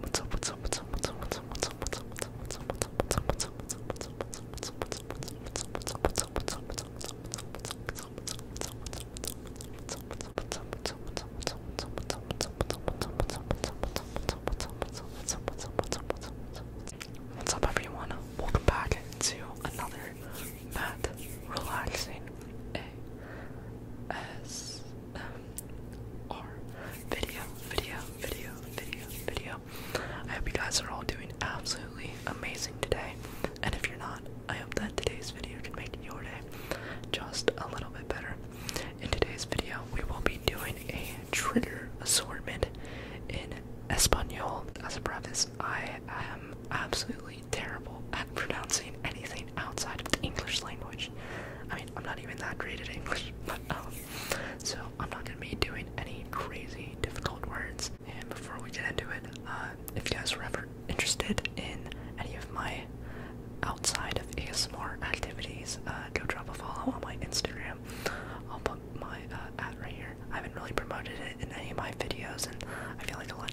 What's up, everyone? Welcome back to another Matt Relaxing A S M our video, video, video, video, video. I hope you guys are all doing absolutely amazing today. And if you're not, I hope that today's video can make your day just a little bit better. In today's video, we will be doing a trigger assortment in Espanol. As a preface, I am absolutely terrible at pronouncing anything outside of the English language. I mean, I'm not even that great at English, but um, so I'm not gonna be doing any crazy difficult words. And before we get into it, uh, if you guys were ever interested in any of my outside of ASMR activities, uh, go drop a follow on my Instagram. I'll put my uh, at right here. I haven't really promoted it in any of my videos, and I feel like a lot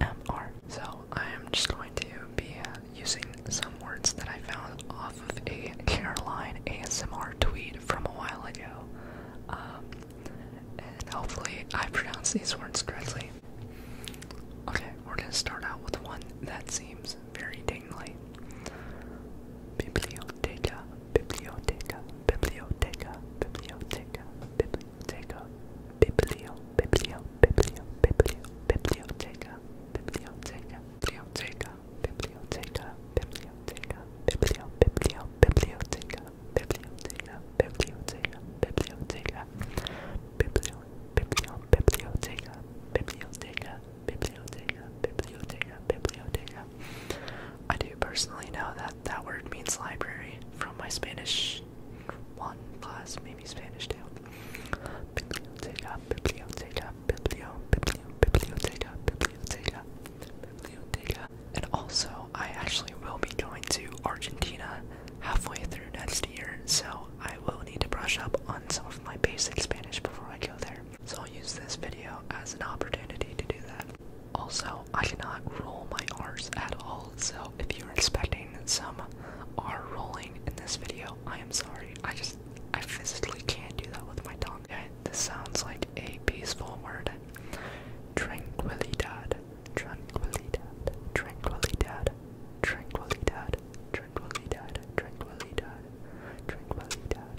ASMR. So I am just going to be using some words that I found off of a Caroline ASMR tweet from a while ago. Um, and hopefully I pronounce these words correctly. Okay, we're gonna start out with one that seems very tingly. Biblioteca, biblioteca, biblioteca, biblioteca, biblioteca, biblioteca, biblio, biblio, biblio, biblio, biblioteca, biblioteca, biblioteca, biblioteca, biblioteca, biblio, biblio, biblioteca, biblioteca, biblioteca, biblioteca, biblio, biblio, biblioteca, biblioteca, biblioteca, biblioteca, biblioteca, I do personally know that that word means library from my Spanish one class, maybe Spanish two. Biblioteca, biblioteca, biblio, biblio, biblioteca, biblioteca, biblioteca. And also, I actually will be going to Argentina halfway through next year, so I will need to brush up on some of my basic Spanish before I go there. So I'll use this video as an opportunity to do that. Also, I cannot roll my R's at all, so if you're expecting some R rolling in this video, I am sorry. I just, I physically can't do that with my tongue. this sounds like a peaceful word. Tranquilidad, Tranquilly, tranquilidad, Tranquilly, tranquilidad, Tranquilly, tranquilidad,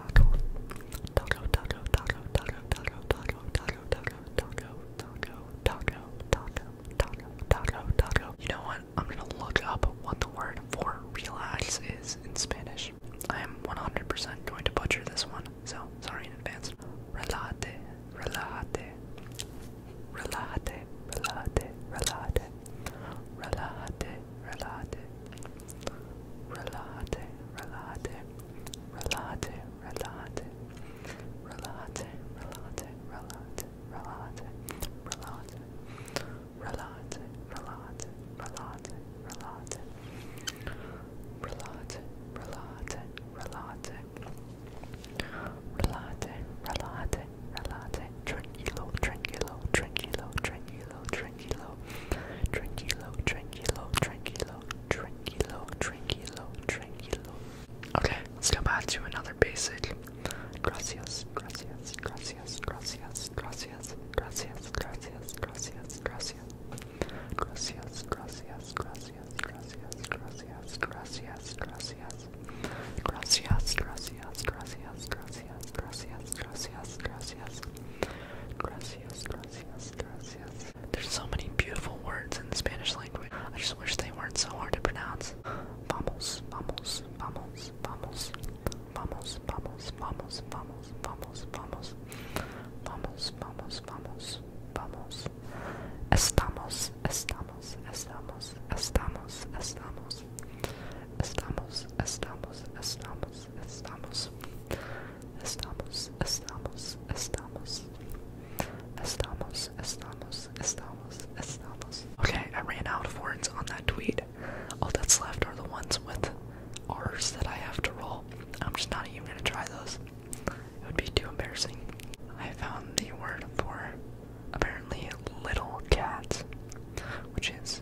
taco, taco, taco, taco, taco, taco, taco, taco, taco, taco, taco, taco, taco, taco, taco, taco. You know what? I'm gonna look up what the word for relax is in Spanish. I am 100% going to butcher this one, so sorry in advance. Relate, relate, relate, relate, relate, relate, relate. Relate, relate, relate, relate, relate, relate, relate, relate, relate, relate, relate, relate, relate, relate, relate, relate, relate, relate, relate, tranquilo, tranquilo, tranquilo, tranquilo tranquilo, tranquilo, tranquilo, tranquilo, tranquilo, tranquilo, tranquilo, tranquilo. Okay, let's go back to another basic. Gracias, gracias, gracias, gracias, gracias, gracias, gracias, gracias, gracias. Gracias, gracias, gracias, gracias, gracias, gracias, gracias. Gracias, gracias, gracias, gracias, gracias, gracias, gracias, gracias. Gracias, gracias, gracias. There's so many beautiful words in the Spanish language. I just wish they weren't so hard to pronounce. Vamos, vamos, vamos, vamos. Vamos, vamos, vamos, vamos, vamos, vamos. Vamos, vamos, vamos, vamos. Estamos, estamos, estamos, estamos, estamos estamos, estamos, estamos, estamos, estamos, estamos, estamos, estamos, estamos, estamos, estamos. Okay, I ran out of words on that tweet. All that's left are the ones with R's that I have to roll. I'm just not even gonna try those. It would be too embarrassing. I found the word for apparently little cat, which is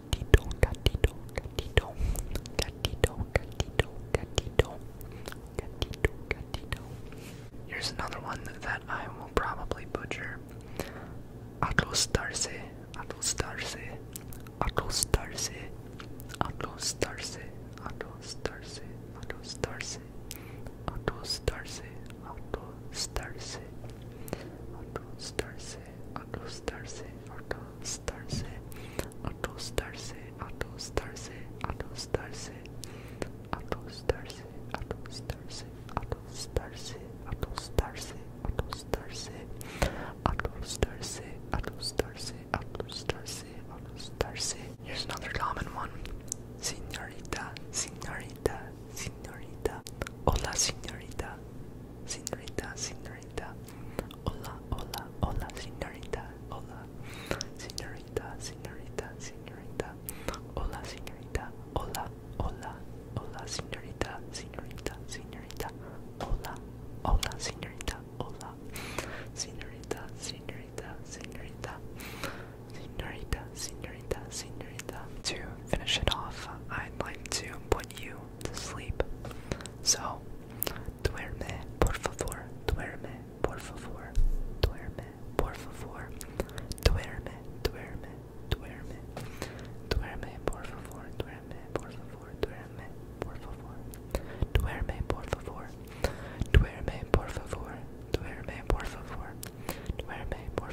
gatito, gatito, gatito, gatito, gatito, gatito, gatito, gatito. Here's another one that I will probably butcher. Acostarse, acostarse, acostarse, acostarse, acostarse, acostarse, acostarse, acostarse, acostarse, acostarse, acostarse, acostarse, acostarse, acostarse, acostarse, acostarse, acostarse, acostarse, acostarse, acostarse, acostarse, acostarse, acostarse. Here's another common one. Señorita, señorita, señorita. Hola, señorita señorita, señorita. Hola, hola, hola, señorita. Hola, señorita, señorita, señorita. Hola, señorita. Hola, hola, hola, señorita, señorita, señorita. Hola, hola, señorita. Hola, señorita, señorita, señorita. Señorita, señorita, señorita. To finish it off, I'd like to put you to sleep. So, duerme, por favor, duerme, por favor, duerme, por favor, duerme, duerme, duerme, duerme, por favor, duerme, por favor, duerme, por favor, duerme, por favor, duerme, por favor, duerme, por favor, duerme, por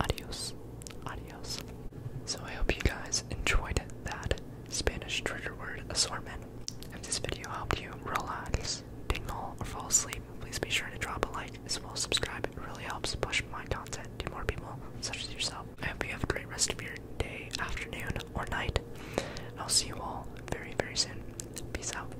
adios, adios. So I hope you guys enjoyed that Spanish trigger word assortment. If this video helped you relax, tingle, or fall asleep, please be sure to drop a like as well as subscribe. It really helps push my content to more people such as yourself. I hope you have a great rest of your day, afternoon, or night. I'll see you all very, very soon. Peace out.